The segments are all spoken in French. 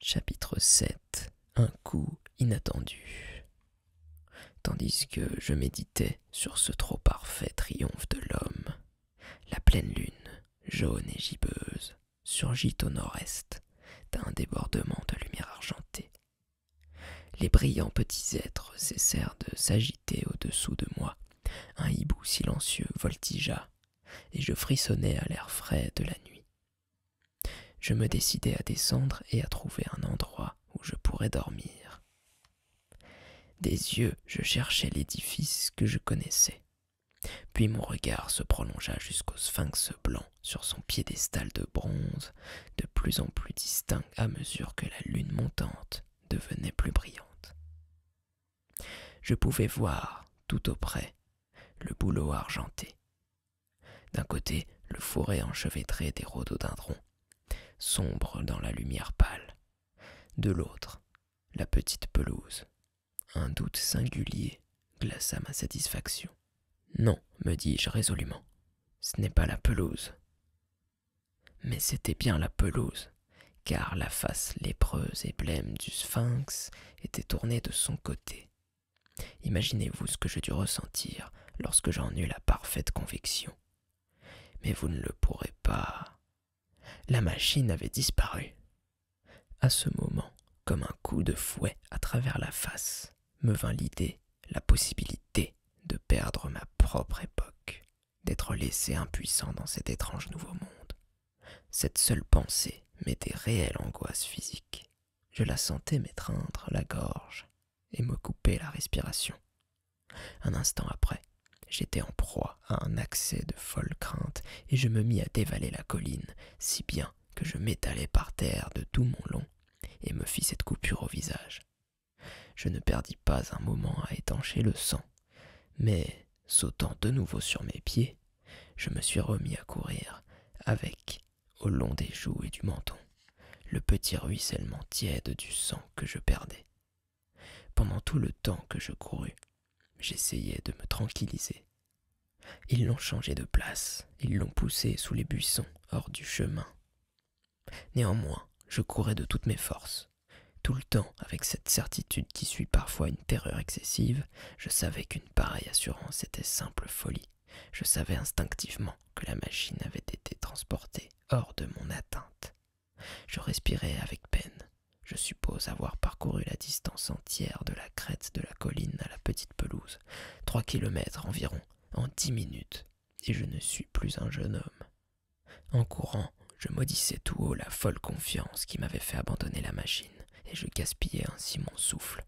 Chapitre 7 Un coup inattendu. Tandis que je méditais sur ce trop parfait triomphe de l'homme, la pleine lune, jaune et gibbeuse, surgit au nord-est d'un débordement de lumière argentée. Les brillants petits êtres cessèrent de s'agiter au-dessous de moi. Un hibou silencieux voltigea, et je frissonnais à l'air frais de la nuit. Je me décidai à descendre et à trouver un endroit où je pourrais dormir. Des yeux, je cherchais l'édifice que je connaissais. Puis mon regard se prolongea jusqu'au sphinx blanc sur son piédestal de bronze, de plus en plus distinct à mesure que la lune montante devenait plus brillante. Je pouvais voir, tout auprès, le bouleau argenté. D'un côté, le forêt enchevêtré des rhododendrons, sombre dans la lumière pâle. De l'autre, la petite pelouse, un doute singulier glaça ma satisfaction. Non, me dis-je résolument, ce n'est pas la pelouse. Mais c'était bien la pelouse, car la face lépreuse et blême du sphinx était tournée de son côté. Imaginez-vous ce que je dus ressentir lorsque j'en eus la parfaite conviction. Mais vous ne le pourrez pas la machine avait disparu. À ce moment, comme un coup de fouet à travers la face, me vint l'idée, la possibilité de perdre ma propre époque, d'être laissé impuissant dans cet étrange nouveau monde. Cette seule pensée m'était réelle angoisse physique. Je la sentais m'étreindre la gorge et me couper la respiration. Un instant après, J'étais en proie à un accès de folle crainte et je me mis à dévaler la colline, si bien que je m'étalai par terre de tout mon long et me fis cette coupure au visage. Je ne perdis pas un moment à étancher le sang, mais, sautant de nouveau sur mes pieds, je me suis remis à courir, avec, au long des joues et du menton, le petit ruissellement tiède du sang que je perdais. Pendant tout le temps que je courus, j'essayais de me tranquilliser. Ils l'ont changé de place, ils l'ont poussé sous les buissons, hors du chemin. Néanmoins, je courais de toutes mes forces. Tout le temps, avec cette certitude qui suit parfois une terreur excessive, je savais qu'une pareille assurance était simple folie. Je savais instinctivement que la machine avait été transportée hors de mon atteinte. Je respirais avec peine. Je suppose avoir parcouru la distance entière de la crête de la colline à la petite pelouse, trois kilomètres environ, en dix minutes, et je ne suis plus un jeune homme. En courant, je maudissais tout haut la folle confiance qui m'avait fait abandonner la machine, et je gaspillais ainsi mon souffle.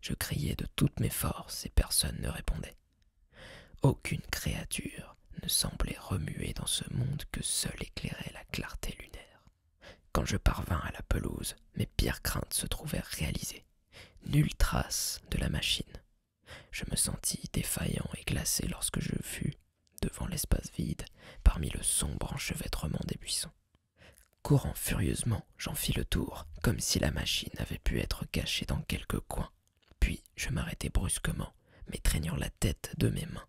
Je criais de toutes mes forces et personne ne répondait. Aucune créature ne semblait remuer dans ce monde que seule éclairait la clarté lunaire. Quand je parvins à la pelouse, mes pires craintes se trouvèrent réalisées. Nulle trace de la machine. Je me sentis défaillant et glacé lorsque je fus, devant l'espace vide, parmi le sombre enchevêtrement des buissons. Courant furieusement, j'en fis le tour, comme si la machine avait pu être cachée dans quelque coin. Puis je m'arrêtai brusquement, m'étreignant la tête de mes mains.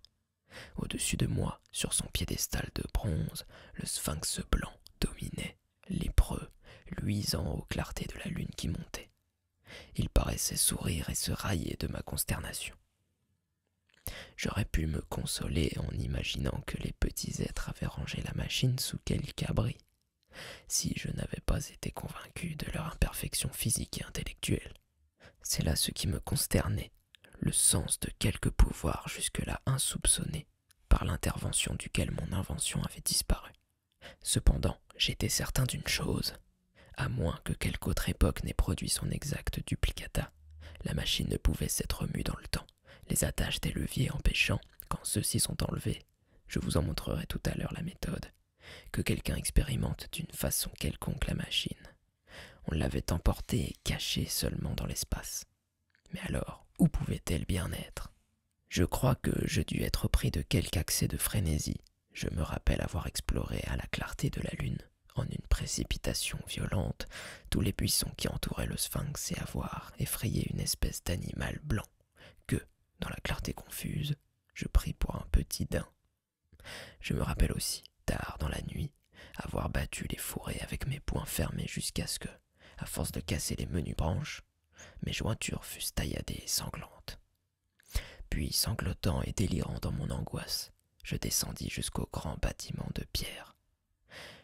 Au-dessus de moi, sur son piédestal de bronze, le sphinx blanc dominait, lépreux, luisant aux clartés de la lune qui montait. Il paraissait sourire et se railler de ma consternation. J'aurais pu me consoler en imaginant que les petits êtres avaient rangé la machine sous quelque abri, si je n'avais pas été convaincu de leur imperfection physique et intellectuelle. C'est là ce qui me consternait, le sens de quelque pouvoir jusque-là insoupçonné, par l'intervention duquel mon invention avait disparu. Cependant, j'étais certain d'une chose. À moins que quelque autre époque n'ait produit son exact duplicata, la machine ne pouvait s'être remue dans le temps, les attaches des leviers empêchant, quand ceux-ci sont enlevés, je vous en montrerai tout à l'heure la méthode, que quelqu'un expérimente d'une façon quelconque la machine. On l'avait emportée et cachée seulement dans l'espace. Mais alors, où pouvait-elle bien être Je crois que je dus être pris de quelque accès de frénésie. Je me rappelle avoir exploré à la clarté de la lune, en une précipitation violente, tous les buissons qui entouraient le sphinx et avoir effrayé une espèce d'animal blanc que, dans la clarté confuse, je pris pour un petit daim. Je me rappelle aussi, tard dans la nuit, avoir battu les fourrés avec mes poings fermés jusqu'à ce que, à force de casser les menues branches, mes jointures fussent tailladées et sanglantes. Puis, sanglotant et délirant dans mon angoisse, je descendis jusqu'au grand bâtiment de pierre.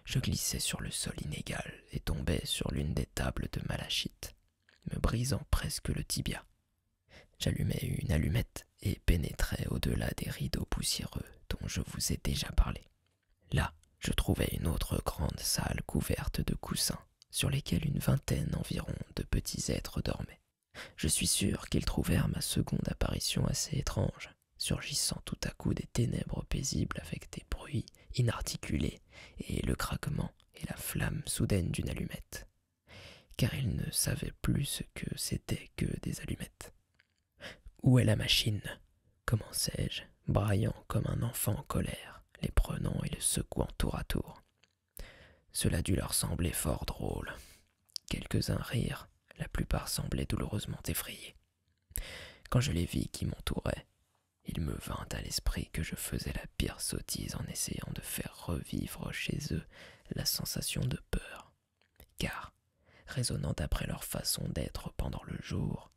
Je glissai sur le sol inégal et tombai sur l'une des tables de malachite, me brisant presque le tibia, J'allumai une allumette et pénétrai au-delà des rideaux poussiéreux dont je vous ai déjà parlé. Là, je trouvai une autre grande salle couverte de coussins sur lesquels une vingtaine environ de petits êtres dormaient. Je suis sûr qu'ils trouvèrent ma seconde apparition assez étrange, surgissant tout à coup des ténèbres paisibles avec des bruits inarticulés et le craquement et la flamme soudaine d'une allumette car ils ne savaient plus ce que c'était que des allumettes. Où est la machine commençai-je, braillant comme un enfant en colère, les prenant et les secouant tour à tour. Cela dut leur sembler fort drôle. Quelques-uns rirent, la plupart semblaient douloureusement effrayés. Quand je les vis qui m'entouraient, il me vint à l'esprit que je faisais la pire sottise en essayant de faire revivre chez eux la sensation de peur car, raisonnant d'après leur façon d'être pendant le jour,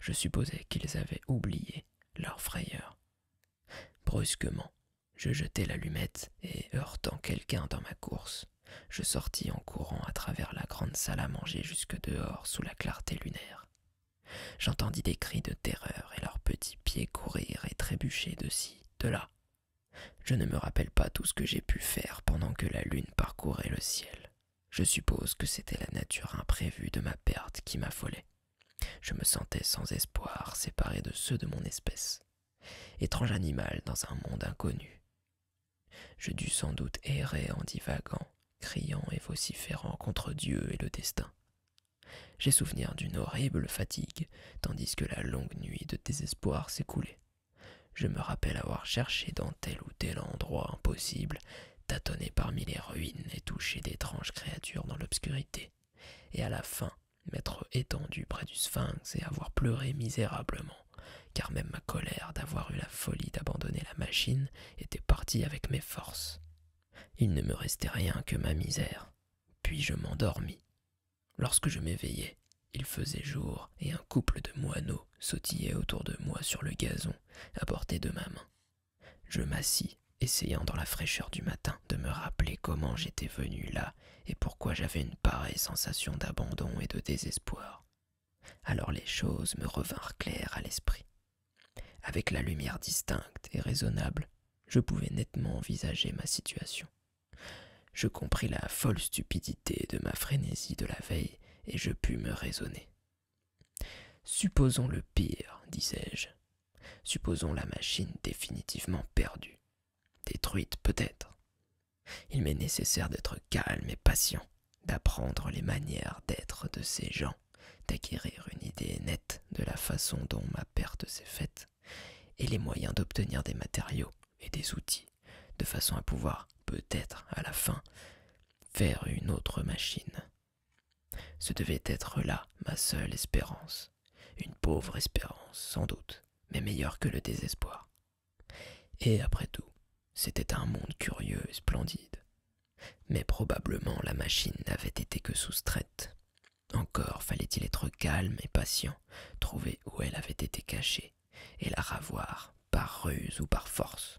je supposais qu'ils avaient oublié leur frayeur. Brusquement, je jetai l'allumette et, heurtant quelqu'un dans ma course, je sortis en courant à travers la grande salle à manger jusque dehors sous la clarté lunaire. J'entendis des cris de terreur et leurs petits pieds courir et trébucher de ci, de là, je ne me rappelle pas tout ce que j'ai pu faire pendant que la lune parcourait le ciel. Je suppose que c'était la nature imprévue de ma perte qui m'affolait. Je me sentais sans espoir, séparé de ceux de mon espèce. Étrange animal dans un monde inconnu. Je dus sans doute errer en divaguant, criant et vociférant contre Dieu et le destin. J'ai souvenir d'une horrible fatigue, tandis que la longue nuit de désespoir s'écoulait. Je me rappelle avoir cherché dans tel ou tel endroit impossible, tâtonné parmi les ruines et touché d'étranges créatures dans l'obscurité, et à la fin m'être étendu près du sphinx et avoir pleuré misérablement, car même ma colère d'avoir eu la folie d'abandonner la machine était partie avec mes forces. Il ne me restait rien que ma misère, puis je m'endormis, Lorsque je m'éveillais, il faisait jour et un couple de moineaux sautillait autour de moi sur le gazon à portée de ma main. Je m'assis, essayant dans la fraîcheur du matin de me rappeler comment j'étais venu là et pourquoi j'avais une pareille sensation d'abandon et de désespoir. Alors les choses me revinrent claires à l'esprit. Avec la lumière distincte et raisonnable, je pouvais nettement envisager ma situation. Je compris la folle stupidité de ma frénésie de la veille et je pus me raisonner. Supposons le pire, disais-je. Supposons la machine définitivement perdue, détruite peut-être. Il m'est nécessaire d'être calme et patient, d'apprendre les manières d'être de ces gens, d'acquérir une idée nette de la façon dont ma perte s'est faite, et les moyens d'obtenir des matériaux et des outils de façon à pouvoir peut-être à la fin faire une autre machine. Ce devait être là ma seule espérance, une pauvre espérance sans doute, mais meilleure que le désespoir. Et après tout, c'était un monde curieux et splendide. Mais probablement la machine n'avait été que soustraite. Encore fallait-il être calme et patient, trouver où elle avait été cachée, et la ravoir par ruse ou par force.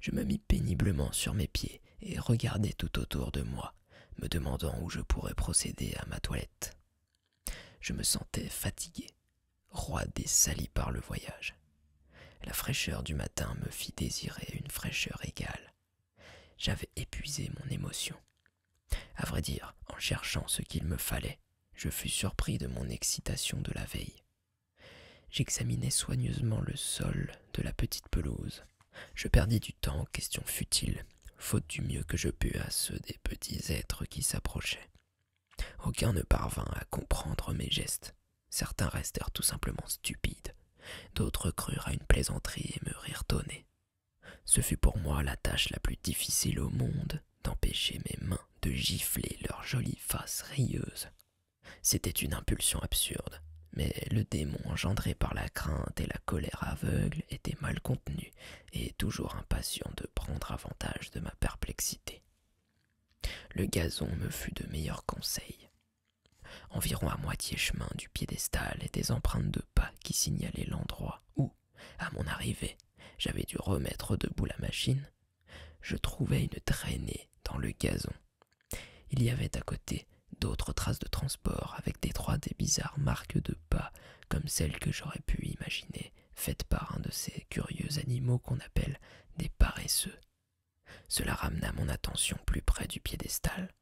Je me mis péniblement sur mes pieds et regardai tout autour de moi, me demandant où je pourrais procéder à ma toilette. Je me sentais fatigué, roi et sali par le voyage. La fraîcheur du matin me fit désirer une fraîcheur égale. J'avais épuisé mon émotion à vrai dire, en cherchant ce qu'il me fallait, je fus surpris de mon excitation de la veille. J'examinai soigneusement le sol de la petite pelouse. Je perdis du temps en questions futiles, faute du mieux que je pus à ceux des petits êtres qui s'approchaient. Aucun ne parvint à comprendre mes gestes. Certains restèrent tout simplement stupides, d'autres crurent à une plaisanterie et me rirent au nez. Ce fut pour moi la tâche la plus difficile au monde d'empêcher mes mains de gifler leur jolie face rayeuse. C'était une impulsion absurde, mais le démon engendré par la crainte et la colère aveugle était mal contenu et toujours impatient de prendre avantage de ma perplexité. Le gazon me fut de meilleur conseil. Environ à moitié chemin du piédestal et des empreintes de pas qui signalaient l'endroit où, à mon arrivée, j'avais dû remettre debout la machine, je trouvais une traînée dans le gazon. Il y avait à côté d'autres traces de transport avec des trois et bizarres marques de pas, comme celles que j'aurais pu imaginer, faites par un de ces curieux animaux qu'on appelle des paresseux. Cela ramena mon attention plus près du piédestal.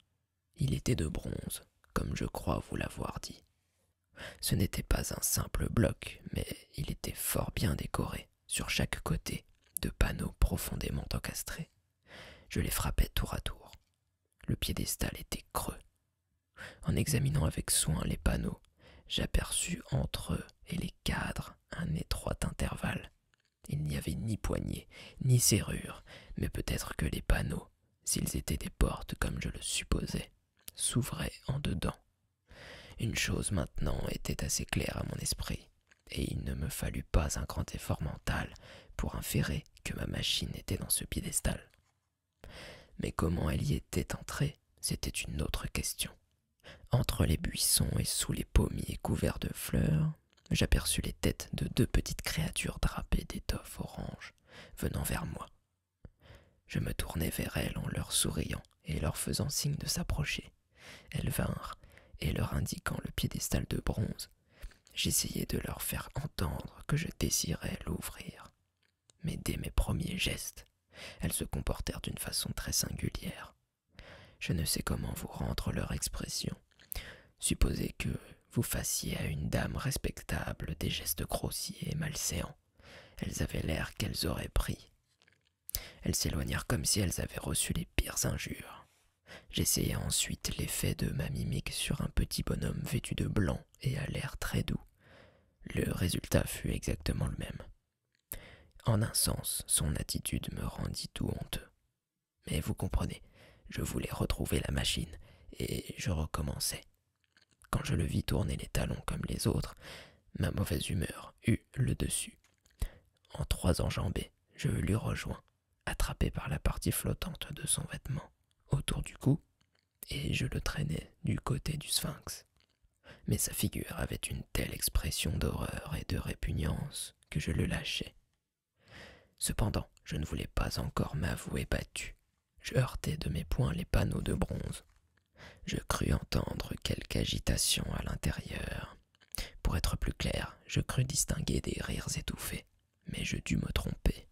Il était de bronze, comme je crois vous l'avoir dit. Ce n'était pas un simple bloc, mais il était fort bien décoré, sur chaque côté, de panneaux profondément encastrés. Je les frappais tour à tour. Le piédestal était creux. En examinant avec soin les panneaux, j'aperçus entre eux et les cadres un étroit intervalle. Il n'y avait ni poignée, ni serrure, mais peut-être que les panneaux, s'ils étaient des portes comme je le supposais, s'ouvrait en dedans. Une chose maintenant était assez claire à mon esprit, et il ne me fallut pas un grand effort mental pour inférer que ma machine était dans ce piédestal. Mais comment elle y était entrée, c'était une autre question. Entre les buissons et sous les pommiers couverts de fleurs, j'aperçus les têtes de deux petites créatures drapées d'étoffes orange venant vers moi je me tournai vers elles en leur souriant et leur faisant signe de s'approcher. Elles vinrent, et leur indiquant le piédestal de bronze, j'essayai de leur faire entendre que je désirais l'ouvrir. Mais dès mes premiers gestes, elles se comportèrent d'une façon très singulière. Je ne sais comment vous rendre leur expression. Supposez que vous fassiez à une dame respectable des gestes grossiers et malséants. Elles avaient l'air qu'elles auraient pris. Elles s'éloignèrent comme si elles avaient reçu les pires injures. J'essayai ensuite l'effet de ma mimique sur un petit bonhomme vêtu de blanc et à l'air très doux. Le résultat fut exactement le même. En un sens, son attitude me rendit tout honteux. Mais vous comprenez, je voulais retrouver la machine, et je recommençais. Quand je le vis tourner les talons comme les autres, ma mauvaise humeur eut le dessus. En trois enjambées, je l'eus rejoint, attrapé par la partie flottante de son vêtement autour du cou, et je le traînais du côté du sphinx. Mais sa figure avait une telle expression d'horreur et de répugnance que je le lâchai. Cependant, je ne voulais pas encore m'avouer battu je heurtai de mes poings les panneaux de bronze. Je crus entendre quelque agitation à l'intérieur. Pour être plus clair, je crus distinguer des rires étouffés, mais je dus me tromper.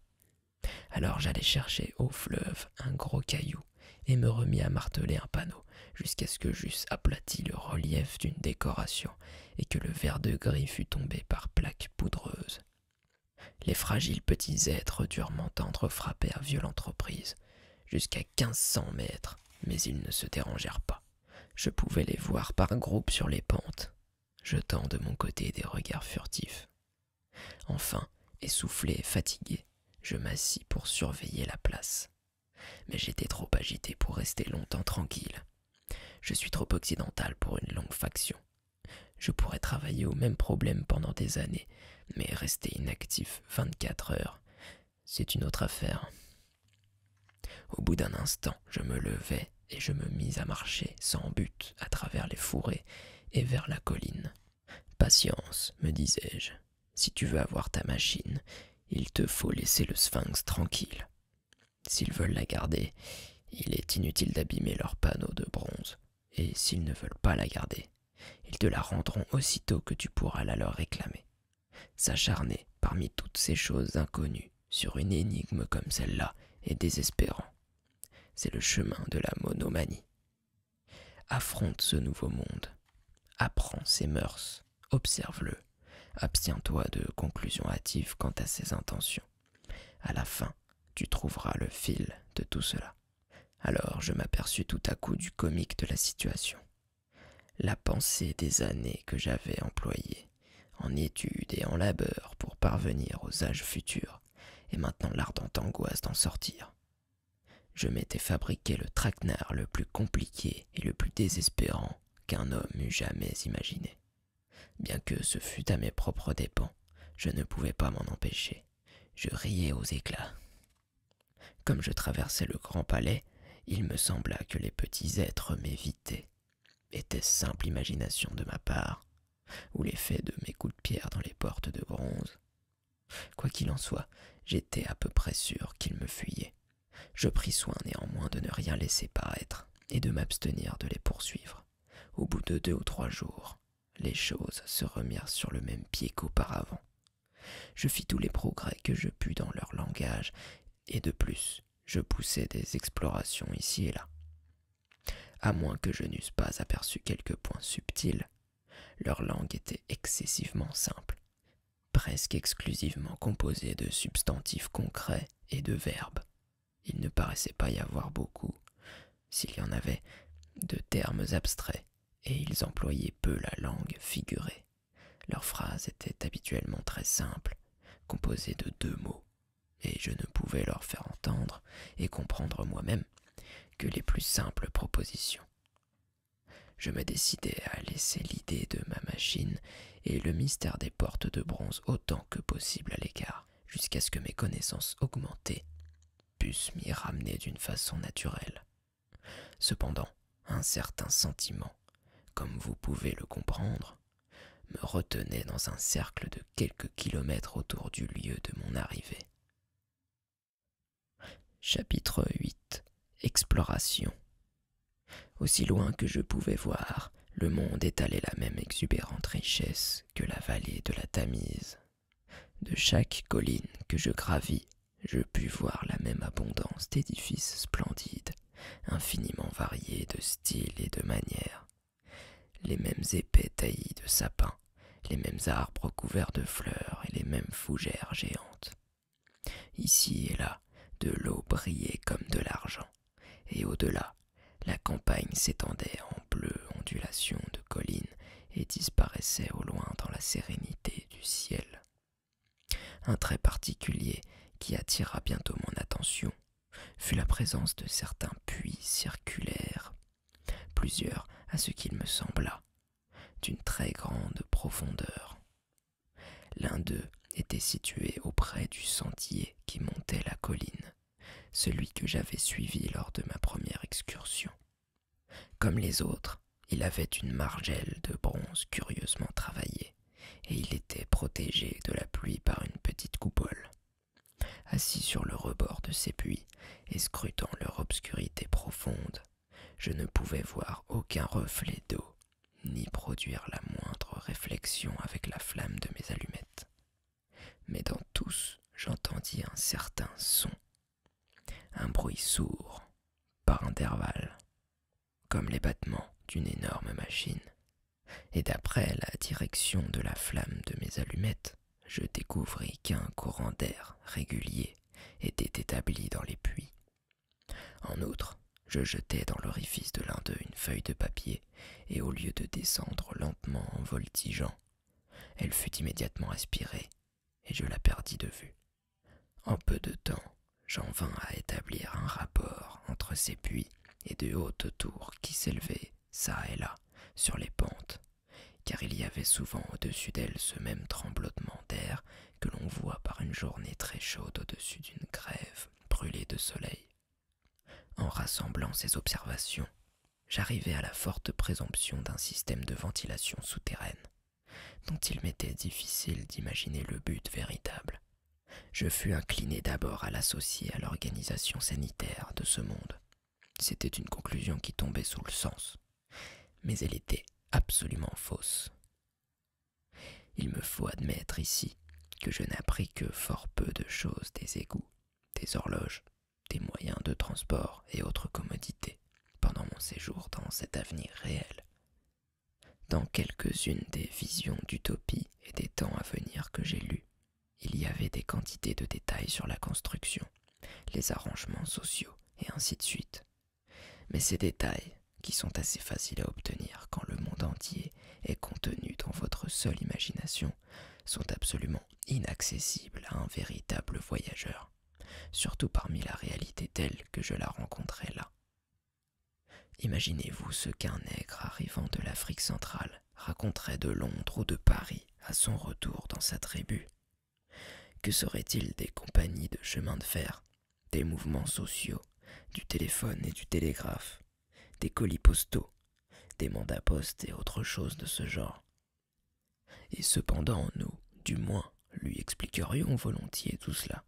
Alors j'allai chercher au fleuve un gros caillou et me remis à marteler un panneau jusqu'à ce que j'eusse aplati le relief d'une décoration et que le vert de gris fût tombé par plaques poudreuses. Les fragiles petits êtres durent m'entendre frapper à violente reprise, jusqu'à quinze cents mètres, mais ils ne se dérangèrent pas. Je pouvais les voir par groupe sur les pentes, jetant de mon côté des regards furtifs. Enfin, essoufflé et fatigué, je m'assis pour surveiller la place. Mais j'étais trop agité pour rester longtemps tranquille. Je suis trop occidental pour une longue faction, je pourrais travailler au même problème pendant des années, mais rester inactif vingt-quatre heures, c'est une autre affaire. Au bout d'un instant, je me levai et je me mis à marcher sans but à travers les fourrés et vers la colline. Patience, me disais-je, si tu veux avoir ta machine, il te faut laisser le sphinx tranquille. S'ils veulent la garder, il est inutile d'abîmer leurs panneaux de bronze et s'ils ne veulent pas la garder, ils te la rendront aussitôt que tu pourras la leur réclamer. S'acharner parmi toutes ces choses inconnues sur une énigme comme celle-là est désespérant. C'est le chemin de la monomanie. Affronte ce nouveau monde, apprends ses mœurs, observe-le, abstiens-toi de conclusions hâtives quant à ses intentions. À la fin, tu trouveras le fil de tout cela. Alors je m'aperçus tout à coup du comique de la situation. La pensée des années que j'avais employées, en études et en labeur pour parvenir aux âges futurs, et maintenant l'ardente angoisse d'en sortir. Je m'étais fabriqué le traquenard le plus compliqué et le plus désespérant qu'un homme eût jamais imaginé. Bien que ce fût à mes propres dépens, je ne pouvais pas m'en empêcher je riais aux éclats. Comme je traversais le grand palais, il me sembla que les petits êtres m'évitaient. Était simple imagination de ma part, ou l'effet de mes coups de pierre dans les portes de bronze. Quoi qu'il en soit, j'étais à peu près sûr qu'ils me fuyaient. Je pris soin néanmoins de ne rien laisser paraître et de m'abstenir de les poursuivre. Au bout de deux ou trois jours, les choses se remirent sur le même pied qu'auparavant. Je fis tous les progrès que je pus dans leur langage, et de plus, je poussai des explorations ici et là. À moins que je n'eusse pas aperçu quelques points subtils, leur langue était excessivement simple, presque exclusivement composée de substantifs concrets et de verbes. Il ne paraissait pas y avoir beaucoup s'il y en avait, de termes abstraits, et ils employaient peu la langue figurée. Leurs phrases étaient habituellement très simples, composées de deux mots, et je ne pouvais leur faire entendre et comprendre moi-même que les plus simples propositions. Je me décidai à laisser l'idée de ma machine et le mystère des portes de bronze autant que possible à l'écart, jusqu'à ce que mes connaissances augmentaient pusse m'y ramener d'une façon naturelle. Cependant, un certain sentiment, comme vous pouvez le comprendre, me retenait dans un cercle de quelques kilomètres autour du lieu de mon arrivée. Chapitre 8 Exploration Aussi loin que je pouvais voir, le monde étalait la même exubérante richesse que la vallée de la Tamise de chaque colline que je gravis, je pus voir la même abondance d'édifices splendides, infiniment variés de style et de manière, les mêmes épais taillis de sapins, les mêmes arbres couverts de fleurs et les mêmes fougères géantes. Ici et là, de l'eau brillait comme de l'argent, et au-delà, la campagne s'étendait en bleues ondulations de collines et disparaissait au loin dans la sérénité du ciel. Un trait particulier qui attira bientôt mon attention fut la présence de certains puits circulaires, plusieurs à ce qu'il me sembla, d'une très grande profondeur. L'un d'eux était situé auprès du sentier qui montait la colline, celui que j'avais suivi lors de ma première excursion. Comme les autres, il avait une margelle de bronze curieusement travaillée, et il était protégé de la pluie par une petite coupole. Assis sur le rebord de ces puits et scrutant leur obscurité profonde, je ne pouvais voir aucun reflet d'eau, ni produire la moindre réflexion avec la flamme de mes allumettes mais dans tous j'entendis un certain son, un bruit sourd, par intervalles, comme les battements d'une énorme machine, et d'après la direction de la flamme de mes allumettes, je découvris qu'un courant d'air régulier était établi dans les puits. En outre, je jetai dans l'orifice de l'un d'eux une feuille de papier, et au lieu de descendre lentement en voltigeant, elle fut immédiatement aspirée, et je la perdis de vue. En peu de temps, j'en vins à établir un rapport entre ces puits et de hautes tours qui s'élevaient, çà et là, sur les pentes, car il y avait souvent au-dessus d'elles ce même tremblotement d'air que l'on voit par une journée très chaude au-dessus d'une grève brûlée de soleil. En rassemblant ces observations, j'arrivais à la forte présomption d'un système de ventilation souterraine, dont il m'était difficile d'imaginer le but véritable. Je fus incliné d'abord à l'associer à l'organisation sanitaire de ce monde. C'était une conclusion qui tombait sous le sens, mais elle était absolument fausse. Il me faut admettre ici que je n'appris que fort peu de choses des égouts, des horloges, des moyens de transport et autres commodités pendant mon séjour dans cet avenir réel. Dans quelques-unes des visions d'utopie et des temps à venir que j'ai lues, il y avait des quantités de détails sur la construction, les arrangements sociaux et ainsi de suite. Mais ces détails, qui sont assez faciles à obtenir quand le monde entier est contenu dans votre seule imagination, sont absolument inaccessible à un véritable voyageur, surtout parmi la réalité telle que je la rencontrais là. Imaginez-vous ce qu'un nègre arrivant de l'Afrique centrale raconterait de Londres ou de Paris à son retour dans sa tribu. Que seraient il des compagnies de chemin de fer, des mouvements sociaux, du téléphone et du télégraphe, des colis postaux, des mandats postes et autres choses de ce genre, et cependant nous, du moins, lui expliquerions volontiers tout cela,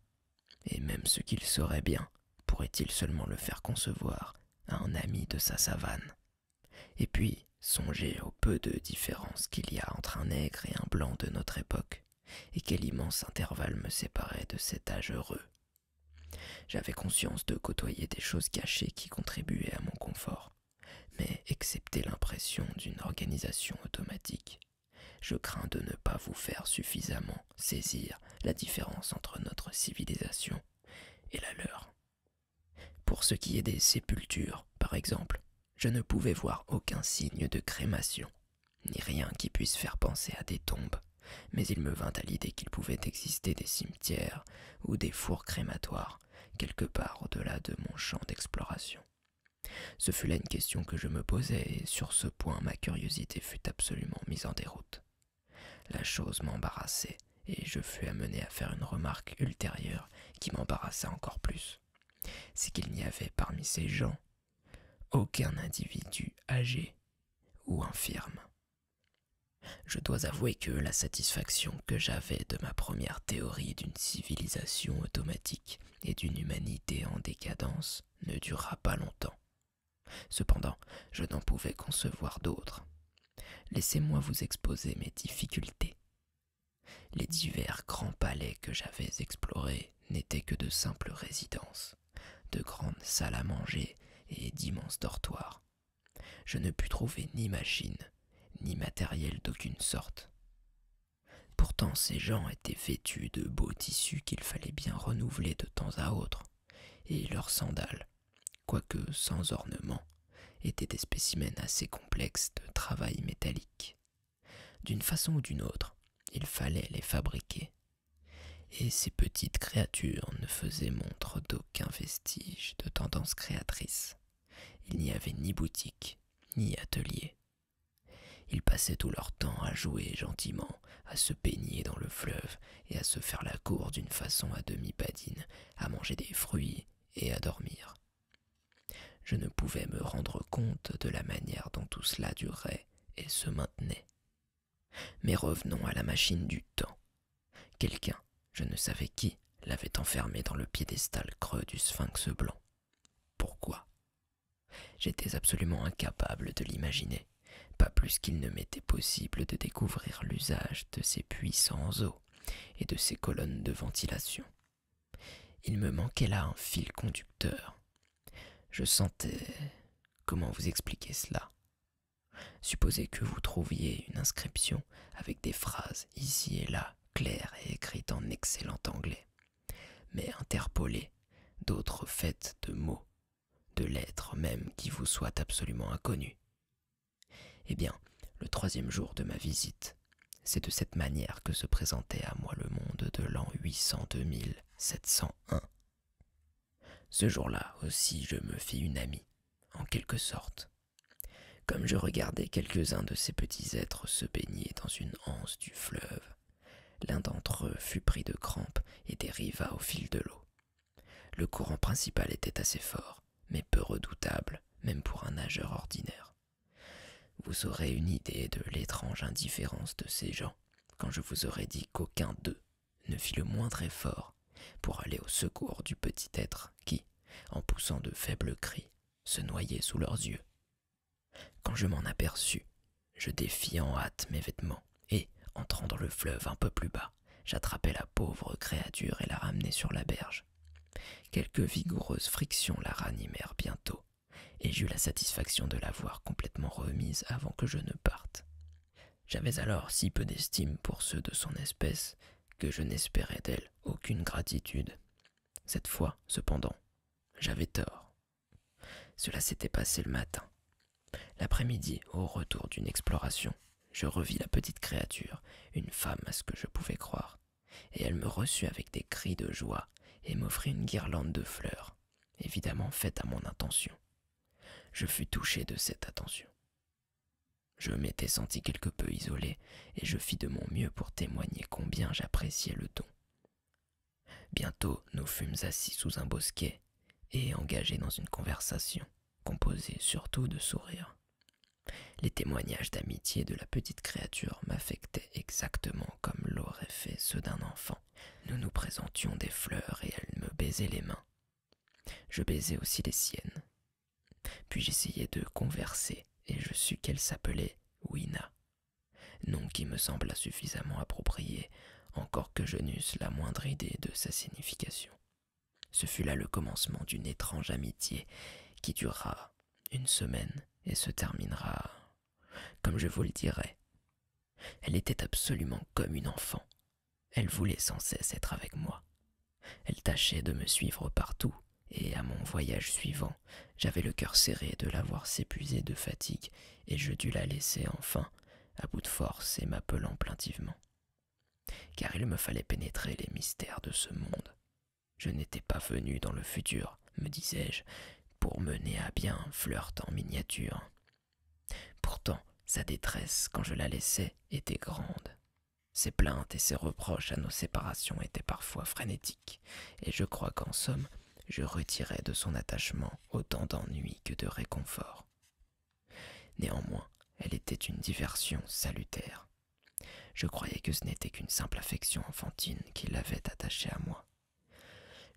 et même ce qu'il saurait bien, pourrait-il seulement le faire concevoir à un ami de sa savane. Et puis, songer au peu de différence qu'il y a entre un nègre et un blanc de notre époque, et quel immense intervalle me séparait de cet âge heureux. J'avais conscience de côtoyer des choses cachées qui contribuaient à mon confort, mais excepté l'impression d'une organisation automatique, je crains de ne pas vous faire suffisamment saisir la différence entre notre civilisation et la leur. Pour ce qui est des sépultures, par exemple, je ne pouvais voir aucun signe de crémation, ni rien qui puisse faire penser à des tombes, mais il me vint à l'idée qu'il pouvait exister des cimetières ou des fours crématoires quelque part au-delà de mon champ d'exploration. Ce fut là une question que je me posais, et sur ce point ma curiosité fut absolument mise en déroute. La chose m'embarrassait, et je fus amené à faire une remarque ultérieure qui m'embarrassa encore plus. C'est qu'il n'y avait parmi ces gens aucun individu âgé ou infirme je dois avouer que la satisfaction que j'avais de ma première théorie d'une civilisation automatique et d'une humanité en décadence ne dura pas longtemps. Cependant, je n'en pouvais concevoir d'autres. Laissez-moi vous exposer mes difficultés. Les divers grands palais que j'avais explorés n'étaient que de simples résidences, de grandes salles à manger et d'immenses dortoirs, je ne pus trouver ni machine, ni matériel d'aucune sorte. Pourtant ces gens étaient vêtus de beaux tissus qu'il fallait bien renouveler de temps à autre, et leurs sandales, quoique sans ornement, étaient des spécimens assez complexes de travail métallique. D'une façon ou d'une autre, il fallait les fabriquer. Et ces petites créatures ne faisaient montre d'aucun vestige de tendance créatrice. Il n'y avait ni boutique, ni atelier. Ils passaient tout leur temps à jouer gentiment, à se peigner dans le fleuve et à se faire la cour d'une façon à demi padine à manger des fruits et à dormir. Je ne pouvais me rendre compte de la manière dont tout cela durait et se maintenait. Mais revenons à la machine du temps, Quelqu'un, je ne savais qui, l'avait enfermé dans le piédestal creux du sphinx blanc. Pourquoi J'étais absolument incapable de l'imaginer, pas plus qu'il ne m'était possible de découvrir l'usage de ces puissants os et de ces colonnes de ventilation. Il me manquait là un fil conducteur. Je sentais... Comment vous expliquer cela Supposez que vous trouviez une inscription avec des phrases ici et là claire et écrite en excellent anglais, mais interpolée d'autres faits de mots, de lettres même qui vous soient absolument inconnues. Eh bien, le troisième jour de ma visite, c'est de cette manière que se présentait à moi le monde de l'an 802 701. Ce jour-là aussi je me fis une amie, en quelque sorte, comme je regardais quelques-uns de ces petits êtres se baigner dans une anse du fleuve, l'un d'entre eux fut pris de crampes et dériva au fil de l'eau. Le courant principal était assez fort, mais peu redoutable, même pour un nageur ordinaire. Vous aurez une idée de l'étrange indifférence de ces gens quand je vous aurai dit qu'aucun d'eux ne fit le moindre effort pour aller au secours du petit être qui, en poussant de faibles cris, se noyaient sous leurs yeux. Quand je m'en aperçus, je défis en hâte mes vêtements, et, entrant dans le fleuve un peu plus bas, j'attrapai la pauvre créature et la ramenai sur la berge. Quelques vigoureuses frictions la ranimèrent bientôt, et j'eus la satisfaction de l'avoir complètement remise avant que je ne parte. J'avais alors si peu d'estime pour ceux de son espèce que je n'espérais d'elle aucune gratitude. Cette fois, cependant, j'avais tort. Cela s'était passé le matin. L'après-midi, au retour d'une exploration, je revis la petite créature, une femme à ce que je pouvais croire, et elle me reçut avec des cris de joie et m'offrit une guirlande de fleurs, évidemment faite à mon intention. Je fus touché de cette attention. Je m'étais senti quelque peu isolé, et je fis de mon mieux pour témoigner combien j'appréciais le don. Bientôt nous fûmes assis sous un bosquet, et engagés dans une conversation, composée surtout de sourires. Les témoignages d'amitié de la petite créature m'affectaient exactement comme l'auraient fait ceux d'un enfant. Nous nous présentions des fleurs et elle me baisait les mains. Je baisais aussi les siennes, puis j'essayai de converser et je sus qu'elle s'appelait Wina, nom qui me sembla suffisamment approprié, encore que je n'eusse la moindre idée de sa signification. Ce fut là le commencement d'une étrange amitié qui durera une semaine et se terminera, comme je vous le dirai. Elle était absolument comme une enfant. Elle voulait sans cesse être avec moi. Elle tâchait de me suivre partout, et à mon voyage suivant, j'avais le cœur serré de la voir s'épuiser de fatigue, et je dus la laisser enfin, à bout de force et m'appelant plaintivement. Car il me fallait pénétrer les mystères de ce monde. Je n'étais pas venu dans le futur, me disais-je, pour mener à bien un flirt en miniature. Pourtant, sa détresse, quand je la laissais, était grande. Ses plaintes et ses reproches à nos séparations étaient parfois frénétiques, et je crois qu'en somme, je retirais de son attachement autant d'ennui que de réconfort. Néanmoins, elle était une diversion salutaire. Je croyais que ce n'était qu'une simple affection enfantine qui l'avait attachée à moi.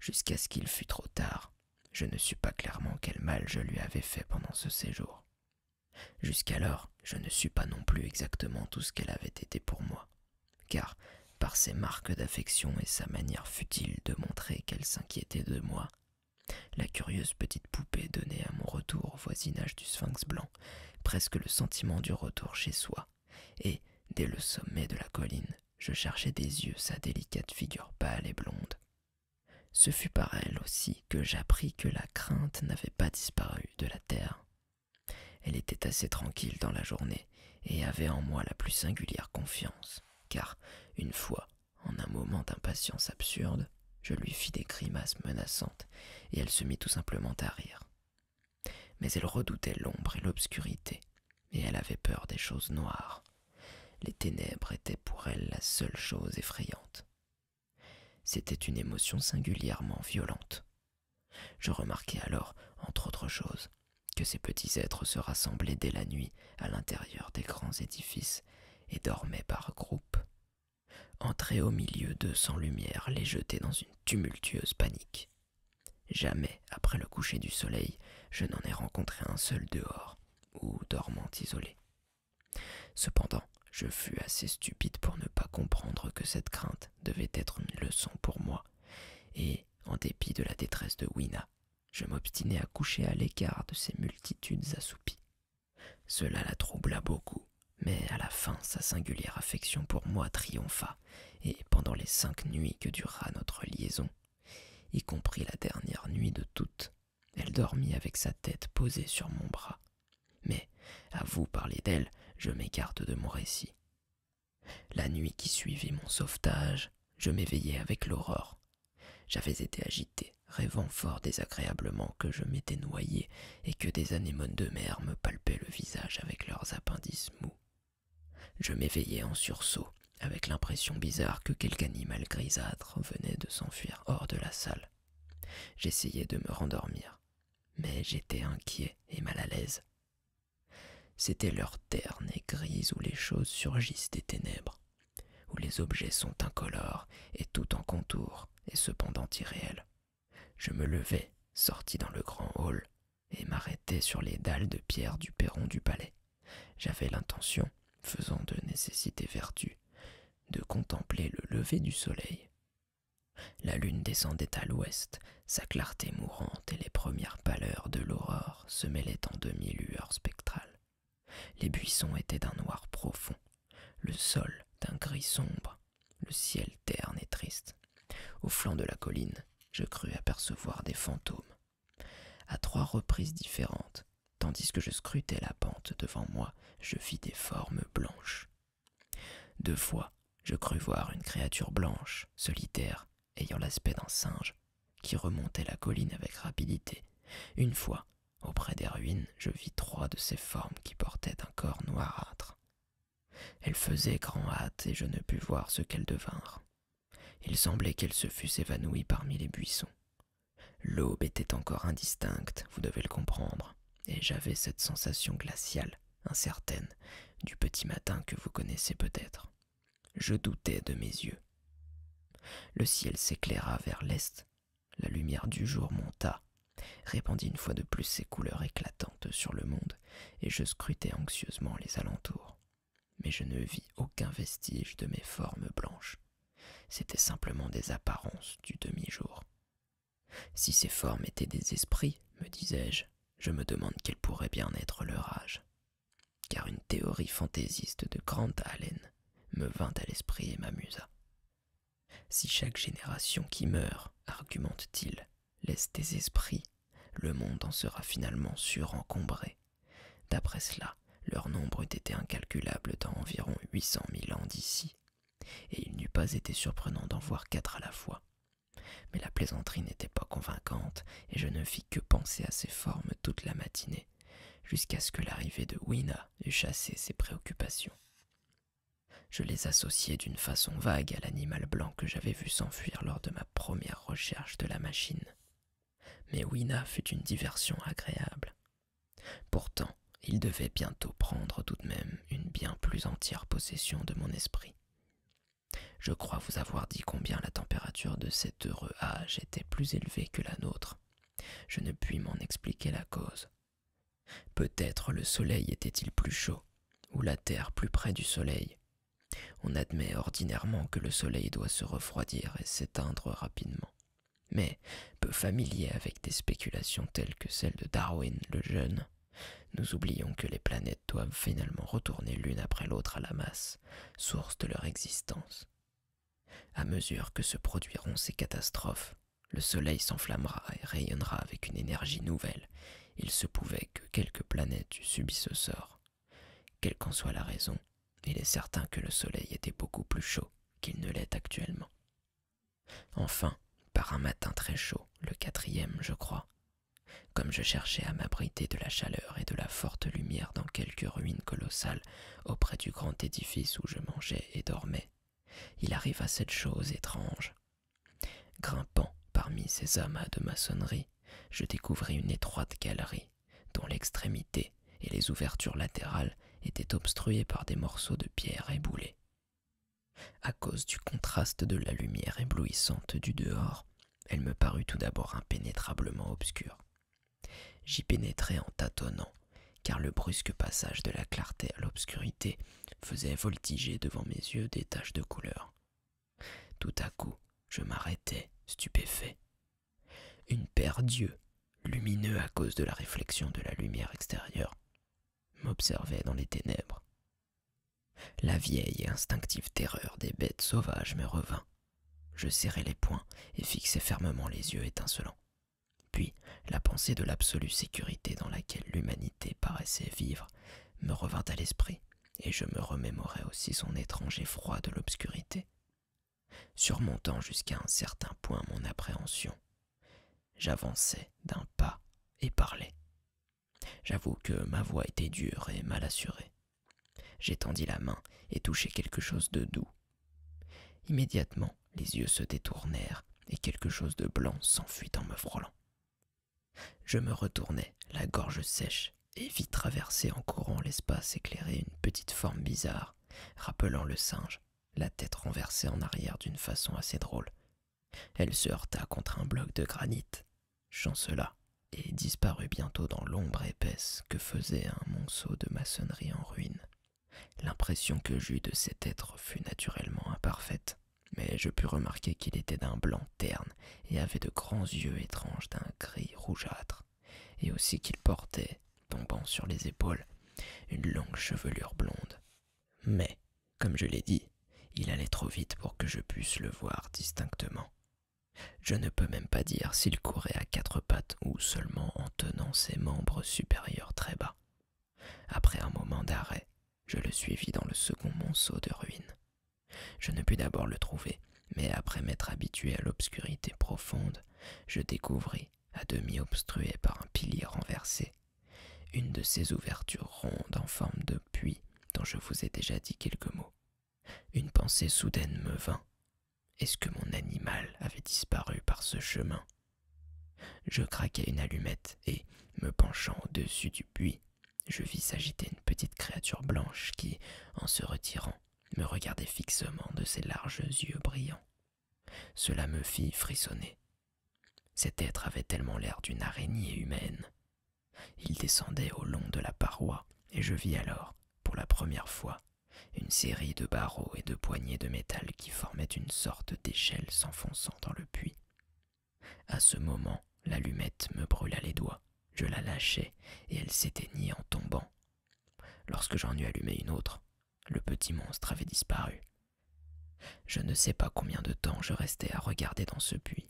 Jusqu'à ce qu'il fût trop tard, je ne sus pas clairement quel mal je lui avais fait pendant ce séjour. Jusqu'alors, je ne sus pas non plus exactement tout ce qu'elle avait été pour moi, car, par ses marques d'affection et sa manière futile de montrer qu'elle s'inquiétait de moi, la curieuse petite poupée donnait à mon retour au voisinage du sphinx blanc presque le sentiment du retour chez soi, et, dès le sommet de la colline, je cherchais des yeux sa délicate figure pâle et blonde. Ce fut par elle aussi que j'appris que la crainte n'avait pas disparu de la terre, elle était assez tranquille dans la journée et avait en moi la plus singulière confiance, car, une fois, en un moment d'impatience absurde, je lui fis des grimaces menaçantes et elle se mit tout simplement à rire. Mais elle redoutait l'ombre et l'obscurité, et elle avait peur des choses noires. Les ténèbres étaient pour elle la seule chose effrayante. C'était une émotion singulièrement violente. Je remarquai alors, entre autres choses, que ces petits êtres se rassemblaient dès la nuit à l'intérieur des grands édifices et dormaient par groupes. Entrer au milieu d'eux sans lumière les jetait dans une tumultueuse panique. Jamais, après le coucher du soleil, je n'en ai rencontré un seul dehors, ou dormant isolé. Cependant, je fus assez stupide pour ne pas comprendre que cette crainte devait être une leçon pour moi, et, en dépit de la détresse de Wina, je m'obstinai à coucher à l'écart de ces multitudes assoupies. Cela la troubla beaucoup, mais à la fin sa singulière affection pour moi triompha, et pendant les cinq nuits que dura notre liaison, y compris la dernière nuit de toutes, elle dormit avec sa tête posée sur mon bras, mais, à vous parler d'elle, je m'écarte de mon récit. La nuit qui suivit mon sauvetage, je m'éveillai avec l'aurore. J'avais été agité, rêvant fort désagréablement que je m'étais noyé et que des anémones de mer me palpaient le visage avec leurs appendices mous. Je m'éveillai en sursaut, avec l'impression bizarre que quelque animal grisâtre venait de s'enfuir hors de la salle. J'essayai de me rendormir, mais j'étais inquiet et mal à l'aise. C'était l'heure terne et grise où les choses surgissent des ténèbres, où les objets sont incolores et tout en contour et cependant irréels. Je me levai, sortis dans le grand hall, et m'arrêtai sur les dalles de pierre du perron du palais. J'avais l'intention, faisant de nécessité vertu, de contempler le lever du soleil la lune descendait à l'ouest, sa clarté mourante et les premières pâleurs de l'aurore se mêlaient en demi-lueurs spectrales. Les buissons étaient d'un noir profond, le sol d'un gris sombre, le ciel terne et triste. Au flanc de la colline, je crus apercevoir des fantômes. À trois reprises différentes, tandis que je scrutais la pente devant moi, je vis des formes blanches, deux fois, je crus voir une créature blanche, solitaire, ayant l'aspect d'un singe, qui remontait la colline avec rapidité. Une fois, auprès des ruines, je vis trois de ces formes qui portaient un corps noirâtre. Elles faisaient grand hâte et je ne pus voir ce qu'elles devinrent. Il semblait qu'elles se fussent évanouies parmi les buissons. L'aube était encore indistincte, vous devez le comprendre et j'avais cette sensation glaciale, incertaine, du petit matin que vous connaissez peut-être. Je doutais de mes yeux. Le ciel s'éclaira vers l'est, la lumière du jour monta, répandit une fois de plus ses couleurs éclatantes sur le monde, et je scrutai anxieusement les alentours. Mais je ne vis aucun vestige de mes formes blanches. C'était simplement des apparences du demi-jour. Si ces formes étaient des esprits, me disais-je, je me demande quel pourrait bien être leur âge. Car une théorie fantaisiste de grande haleine me vint à l'esprit et m'amusa. Si chaque génération qui meurt, argumente-t-il, laisse des esprits, le monde en sera finalement surencombré. D'après cela, leur nombre eût été incalculable dans environ huit cent mille ans d'ici et il n'eût pas été surprenant d'en voir quatre à la fois. Mais la plaisanterie n'était pas convaincante, et je ne fis que penser à ses formes toute la matinée, jusqu'à ce que l'arrivée de Wina eût chassé ces préoccupations. Je les associais d'une façon vague à l'animal blanc que j'avais vu s'enfuir lors de ma première recherche de la machine. Mais Wina fut une diversion agréable. Pourtant, il devait bientôt prendre tout de même une bien plus entière possession de mon esprit. Je crois vous avoir dit combien la température de cet heureux âge était plus élevée que la nôtre. Je ne puis m'en expliquer la cause. Peut-être le soleil était-il plus chaud, ou la terre plus près du soleil. On admet ordinairement que le soleil doit se refroidir et s'éteindre rapidement. Mais peu familier avec des spéculations telles que celles de Darwin le jeune, nous oublions que les planètes doivent finalement retourner l'une après l'autre à la masse, source de leur existence. À mesure que se produiront ces catastrophes, le Soleil s'enflammera et rayonnera avec une énergie nouvelle. Il se pouvait que quelques planètes eussent subi ce sort. Quelle qu'en soit la raison, il est certain que le Soleil était beaucoup plus chaud qu'il ne l'est actuellement. Enfin, par un matin très chaud, le quatrième, je crois, comme je cherchais à m'abriter de la chaleur et de la forte lumière dans quelques ruines colossales auprès du grand édifice où je mangeais et dormais, il arriva cette chose étrange. Grimpant parmi ces amas de maçonnerie, je découvris une étroite galerie, dont l'extrémité et les ouvertures latérales étaient obstruées par des morceaux de pierre éboulées. À cause du contraste de la lumière éblouissante du dehors, elle me parut tout d'abord impénétrablement obscure. J'y pénétrai en tâtonnant, car le brusque passage de la clarté à l'obscurité faisait voltiger devant mes yeux des taches de couleur. Tout à coup, je m'arrêtai, stupéfait. Une paire d'yeux, lumineux à cause de la réflexion de la lumière extérieure, m'observait dans les ténèbres. La vieille et instinctive terreur des bêtes sauvages me revint. Je serrai les poings et fixai fermement les yeux étincelants. Puis la pensée de l'absolue sécurité dans laquelle l'humanité paraissait vivre me revint à l'esprit, et je me remémorai aussi son étrange froid de l'obscurité, surmontant jusqu'à un certain point mon appréhension J'avançai d'un pas et parlai. J'avoue que ma voix était dure et mal assurée. J'étendis la main et touchai quelque chose de doux. Immédiatement, les yeux se détournèrent et quelque chose de blanc s'enfuit en me frôlant. Je me retournai, la gorge sèche, et vis traverser en courant l'espace éclairé une petite forme bizarre, rappelant le singe, la tête renversée en arrière d'une façon assez drôle, elle se heurta contre un bloc de granit, chancela et disparut bientôt dans l'ombre épaisse que faisait un monceau de maçonnerie en ruine. L'impression que j'eus de cet être fut naturellement imparfaite, mais je pus remarquer qu'il était d'un blanc terne et avait de grands yeux étranges d'un gris rougeâtre, et aussi qu'il portait, tombant sur les épaules, une longue chevelure blonde. Mais comme je l'ai dit, il allait trop vite pour que je puisse le voir distinctement. Je ne peux même pas dire s'il courait à quatre pattes ou seulement en tenant ses membres supérieurs très bas. Après un moment d'arrêt, je le suivis dans le second monceau de ruines. Je ne pus d'abord le trouver, mais après m'être habitué à l'obscurité profonde, je découvris, à demi obstrué par un pilier renversé, une de ces ouvertures rondes en forme de puits dont je vous ai déjà dit quelques mots. Une pensée soudaine me vint. Est-ce que mon animal avait disparu par ce chemin Je craquai une allumette et, me penchant au-dessus du puits, je vis s'agiter une petite créature blanche qui, en se retirant, me regardait fixement de ses larges yeux brillants. Cela me fit frissonner. Cet être avait tellement l'air d'une araignée humaine. Il descendait au long de la paroi, et je vis alors, pour la première fois, une série de barreaux et de poignées de métal qui formaient une sorte d'échelle s'enfonçant dans le puits. À ce moment, l'allumette me brûla les doigts. Je la lâchai et elle s'éteignit en tombant. Lorsque j'en eus allumé une autre, le petit monstre avait disparu je ne sais pas combien de temps je restai à regarder dans ce puits.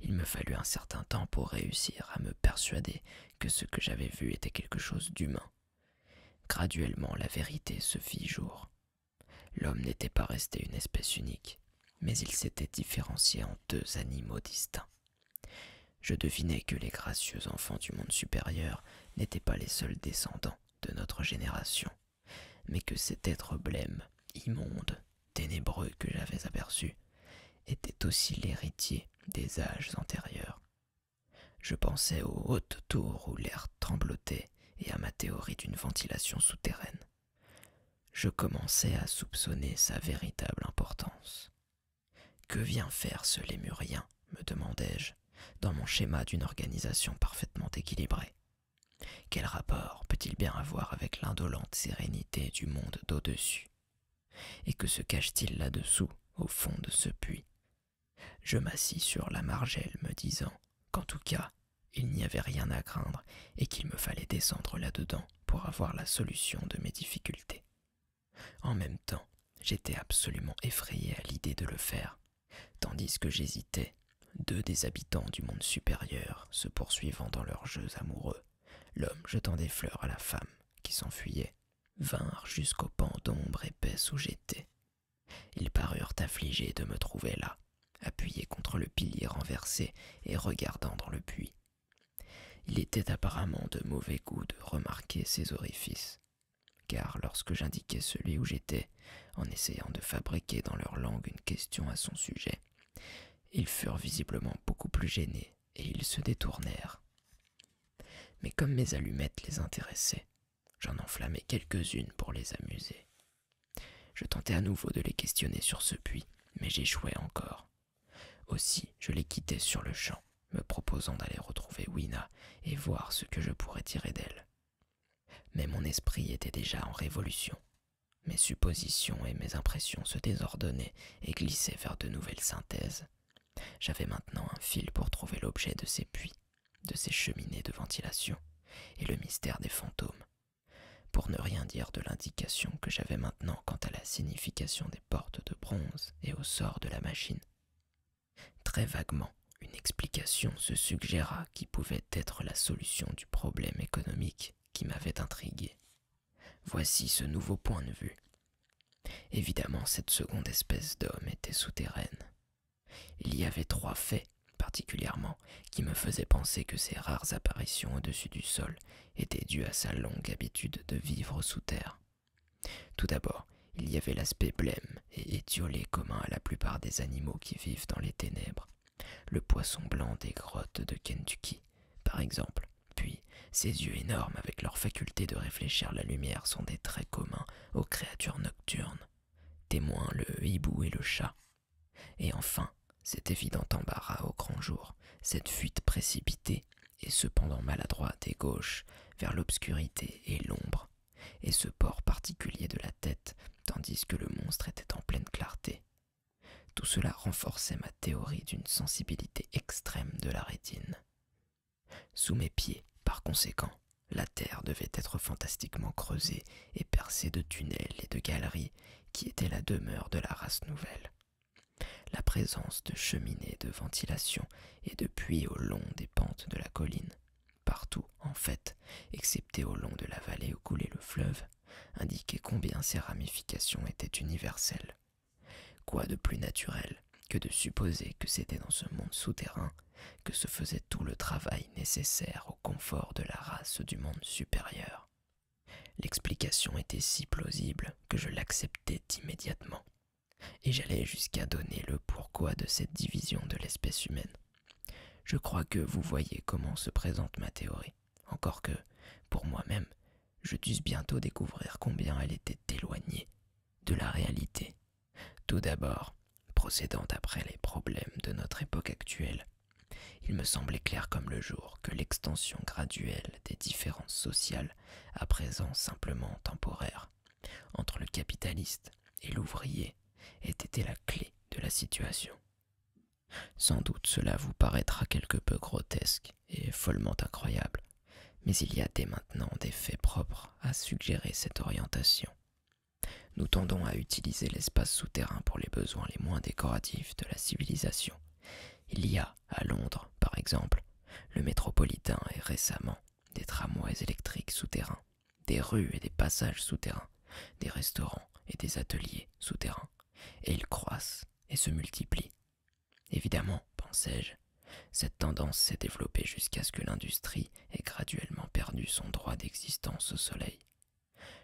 Il me fallut un certain temps pour réussir à me persuader que ce que j'avais vu était quelque chose d'humain. Graduellement la vérité se fit jour. L'homme n'était pas resté une espèce unique, mais il s'était différencié en deux animaux distincts. Je devinais que les gracieux enfants du monde supérieur n'étaient pas les seuls descendants de notre génération mais que cet être blême, immonde, ténébreux que j'avais aperçu, était aussi l'héritier des âges antérieurs. Je pensais aux hautes tours où l'air tremblotait et à ma théorie d'une ventilation souterraine. Je commençais à soupçonner sa véritable importance. Que vient faire ce lémurien me demandai-je, dans mon schéma d'une organisation parfaitement équilibrée quel rapport peut-il bien avoir avec l'indolente sérénité du monde d'au-dessus Et que se cache-t-il là-dessous, au fond de ce puits Je m'assis sur la margelle, me disant qu'en tout cas, il n'y avait rien à craindre et qu'il me fallait descendre là-dedans pour avoir la solution de mes difficultés. En même temps, j'étais absolument effrayé à l'idée de le faire, tandis que j'hésitais, deux des habitants du monde supérieur se poursuivant dans leurs jeux amoureux, l'homme jetant des fleurs à la femme qui s'enfuyait, vinrent jusqu'au pan d'ombre épaisse où j'étais. Ils parurent affligés de me trouver là, appuyés contre le pilier renversé et regardant dans le puits. Il était apparemment de mauvais goût de remarquer ces orifices, car lorsque j'indiquais celui où j'étais, en essayant de fabriquer dans leur langue une question à son sujet. Ils furent visiblement beaucoup plus gênés et ils se détournèrent. Mais comme mes allumettes les intéressaient, j'en enflammai quelques-unes pour les amuser. Je tentai à nouveau de les questionner sur ce puits, mais j'échouai encore. Aussi, je les quittai sur le champ, me proposant d'aller retrouver Wina et voir ce que je pourrais tirer d'elle mais mon esprit était déjà en révolution. Mes suppositions et mes impressions se désordonnaient et glissaient vers de nouvelles synthèses. J'avais maintenant un fil pour trouver l'objet de ces puits, de ces cheminées de ventilation, et le mystère des fantômes. Pour ne rien dire de l'indication que j'avais maintenant quant à la signification des portes de bronze et au sort de la machine. Très vaguement, une explication se suggéra qui pouvait être la solution du problème économique qui m'avait intrigué. Voici ce nouveau point de vue. Évidemment, cette seconde espèce d'homme était souterraine. Il y avait trois faits, particulièrement, qui me faisaient penser que ces rares apparitions au-dessus du sol étaient dues à sa longue habitude de vivre sous terre. Tout d'abord, il y avait l'aspect blême et étiolés communs à la plupart des animaux qui vivent dans les ténèbres, le poisson blanc des grottes de Kentucky, par exemple. Puis, ces yeux énormes avec leur faculté de réfléchir la lumière sont des traits communs aux créatures nocturnes. Témoins le hibou et le chat. Et enfin, cet évident embarras au grand jour, cette fuite précipitée et cependant maladroite et gauche vers l'obscurité et l'ombre, et ce port particulier de la tête, tandis que le monstre était en pleine clarté. Tout cela renforçait ma théorie d'une sensibilité extrême de la rétine. Sous mes pieds, par conséquent, la terre devait être fantastiquement creusée et percée de tunnels et de galeries qui étaient la demeure de la race nouvelle. La présence de cheminées de ventilation et de puits au long des pentes de la colline partout en fait, excepté au long de la vallée où coulait le fleuve, indiquait combien ces ramifications étaient universelles. Quoi de plus naturel que de supposer que c'était dans ce monde souterrain que se faisait tout le travail nécessaire au confort de la race du monde supérieur. L'explication était si plausible que je l'acceptais immédiatement, et j'allais jusqu'à donner le pourquoi de cette division de l'espèce humaine. Je crois que vous voyez comment se présente ma théorie, encore que, pour moi-même, je dus bientôt découvrir combien elle était éloignée de la réalité. Tout d'abord, procédant après les problèmes de notre époque actuelle, il me semblait clair comme le jour que l'extension graduelle des différences sociales, à présent simplement temporaire, entre le capitaliste et l'ouvrier ait été la clé de la situation. Sans doute cela vous paraîtra quelque peu grotesque et follement incroyable, mais il y a dès maintenant des faits propres à suggérer cette orientation. Nous tendons à utiliser l'espace souterrain pour les besoins les moins décoratifs de la civilisation. Il y a, à Londres par exemple, le métropolitain et récemment des tramways électriques souterrains des rues et des passages souterrains, des restaurants et des ateliers souterrains, et ils croissent et se multiplient. Évidemment, pensais-je, cette tendance s'est développée jusqu'à ce que l'industrie ait graduellement perdu son droit d'existence au Soleil.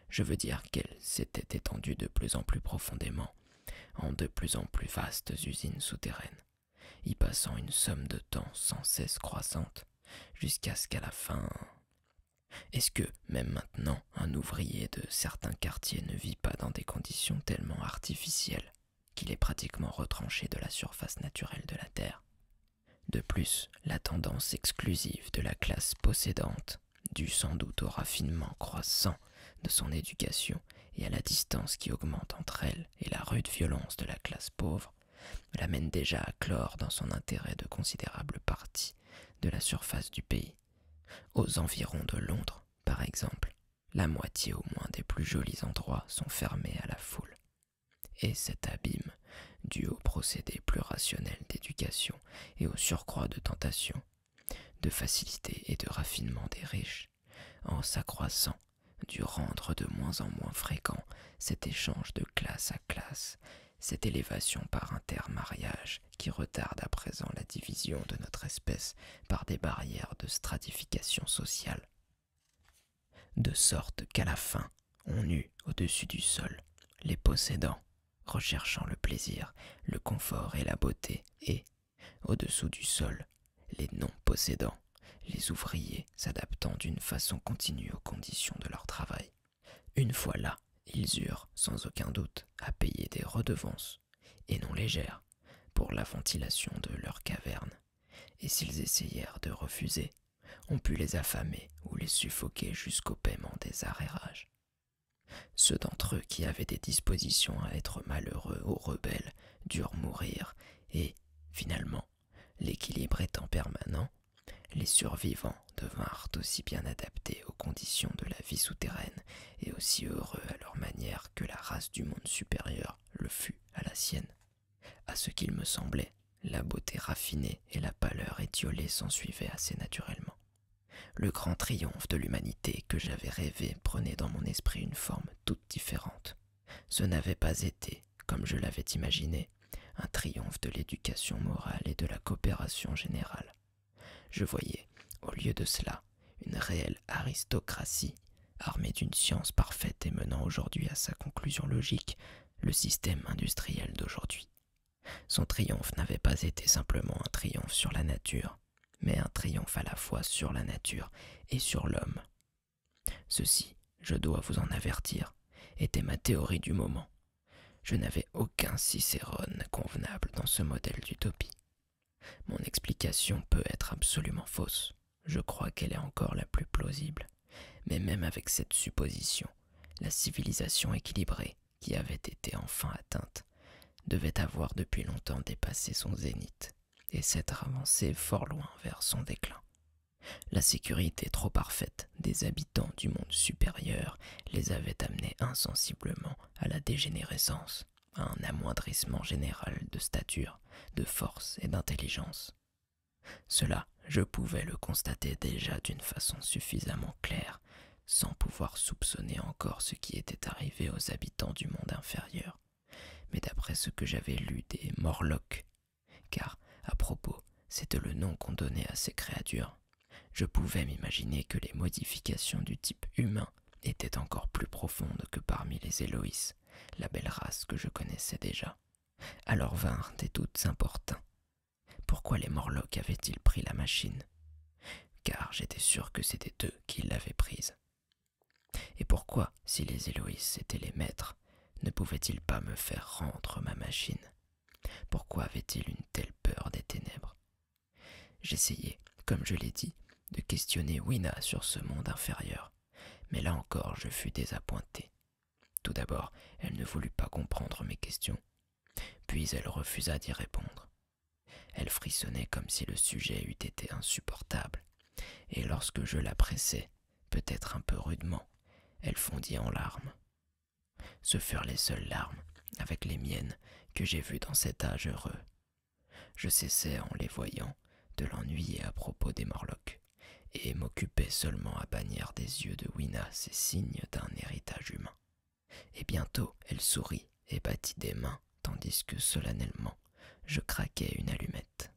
Je veux dire qu'elle s'était étendue de plus en plus profondément, en de plus en plus vastes usines souterraines, y passant une somme de temps sans cesse croissante, jusqu'à ce qu'à la fin est-ce que, même maintenant, un ouvrier de certains quartiers ne vit pas dans des conditions tellement artificielles qu'il est pratiquement retranché de la surface naturelle de la Terre De plus, la tendance exclusive de la classe possédante, due sans doute au raffinement croissant de son éducation et à la distance qui augmente entre elle et la rude violence de la classe pauvre, l'amène déjà à clore dans son intérêt de considérables parties de la surface du pays. Aux environs de Londres, par exemple, la moitié au moins des plus jolis endroits sont fermés à la foule. Et cet abîme, dû au procédé plus rationnel d'éducation et au surcroît de tentations, de facilité et de raffinement des riches, en s'accroissant, dû rendre de moins en moins fréquent cet échange de classe à classe cette élévation par intermariage qui retarde à présent la division de notre espèce par des barrières de stratification sociale. De sorte qu'à la fin, on eut au-dessus du sol les possédants, recherchant le plaisir, le confort et la beauté, et, au-dessous du sol, les non-possédants, les ouvriers s'adaptant d'une façon continue aux conditions de leur travail. Une fois là, ils eurent, sans aucun doute, à payer des redevances, et non légères, pour la ventilation de leur caverne, et s'ils essayèrent de refuser, on put les affamer ou les suffoquer jusqu'au paiement des arrérages. Ceux d'entre eux qui avaient des dispositions à être malheureux ou rebelles durent mourir, et, finalement, L'équilibre étant permanent, les survivants devinrent aussi bien adaptés aux conditions de la vie souterraine et aussi heureux à leur manière que la race du monde supérieur le fut à la sienne. À ce qu'il me semblait, la beauté raffinée et la pâleur étiolée s'ensuivaient assez naturellement. Le grand triomphe de l'humanité que j'avais rêvé prenait dans mon esprit une forme toute différente. Ce n'avait pas été comme je l'avais imaginé, un triomphe de l'éducation morale et de la coopération générale. Je voyais, au lieu de cela, une réelle aristocratie, armée d'une science parfaite et menant aujourd'hui à sa conclusion logique le système industriel d'aujourd'hui. Son triomphe n'avait pas été simplement un triomphe sur la nature, mais un triomphe à la fois sur la nature et sur l'homme. Ceci je dois vous en avertir, était ma théorie du moment. Je n'avais aucun Cicérone convenable dans ce modèle d'utopie. Mon explication peut être absolument fausse, je crois qu'elle est encore la plus plausible, mais même avec cette supposition, la civilisation équilibrée, qui avait été enfin atteinte, devait avoir depuis longtemps dépassé son zénith et s'être avancée fort loin vers son déclin, la sécurité trop parfaite des habitants du monde supérieur les avait amenés insensiblement à la dégénérescence, à un amoindrissement général de stature, de force et d'intelligence. Cela, je pouvais le constater déjà d'une façon suffisamment claire, sans pouvoir soupçonner encore ce qui était arrivé aux habitants du monde inférieur. Mais d'après ce que j'avais lu des Morlocks, car, à propos, c'était le nom qu'on donnait à ces créatures. Je pouvais m'imaginer que les modifications du type humain étaient encore plus profondes que parmi les Héloïs, la belle race que je connaissais déjà. Alors vinrent des doutes importants. Pourquoi les Morlocks avaient-ils pris la machine Car j'étais sûr que c'était eux qui l'avaient prise. Et pourquoi, si les Héloïs étaient les maîtres, ne pouvaient-ils pas me faire rendre ma machine pourquoi avait-il une telle peur des ténèbres J'essayai, comme je l'ai dit, de questionner Wina sur ce monde inférieur, mais là encore je fus désappointé. Tout d'abord, elle ne voulut pas comprendre mes questions, puis elle refusa d'y répondre. Elle frissonnait comme si le sujet eût été insupportable, et lorsque je la pressais, peut-être un peu rudement, elle fondit en larmes. Ce furent les seules larmes, avec les miennes, que j'ai vues dans cet âge heureux. Je cessais, en les voyant, de l'ennuyer à propos des Morlocks, et m'occupais seulement à bannir des yeux de Wina ces signes d'un héritage humain. Et bientôt elle sourit et battit des mains, tandis que solennellement je craquais une allumette.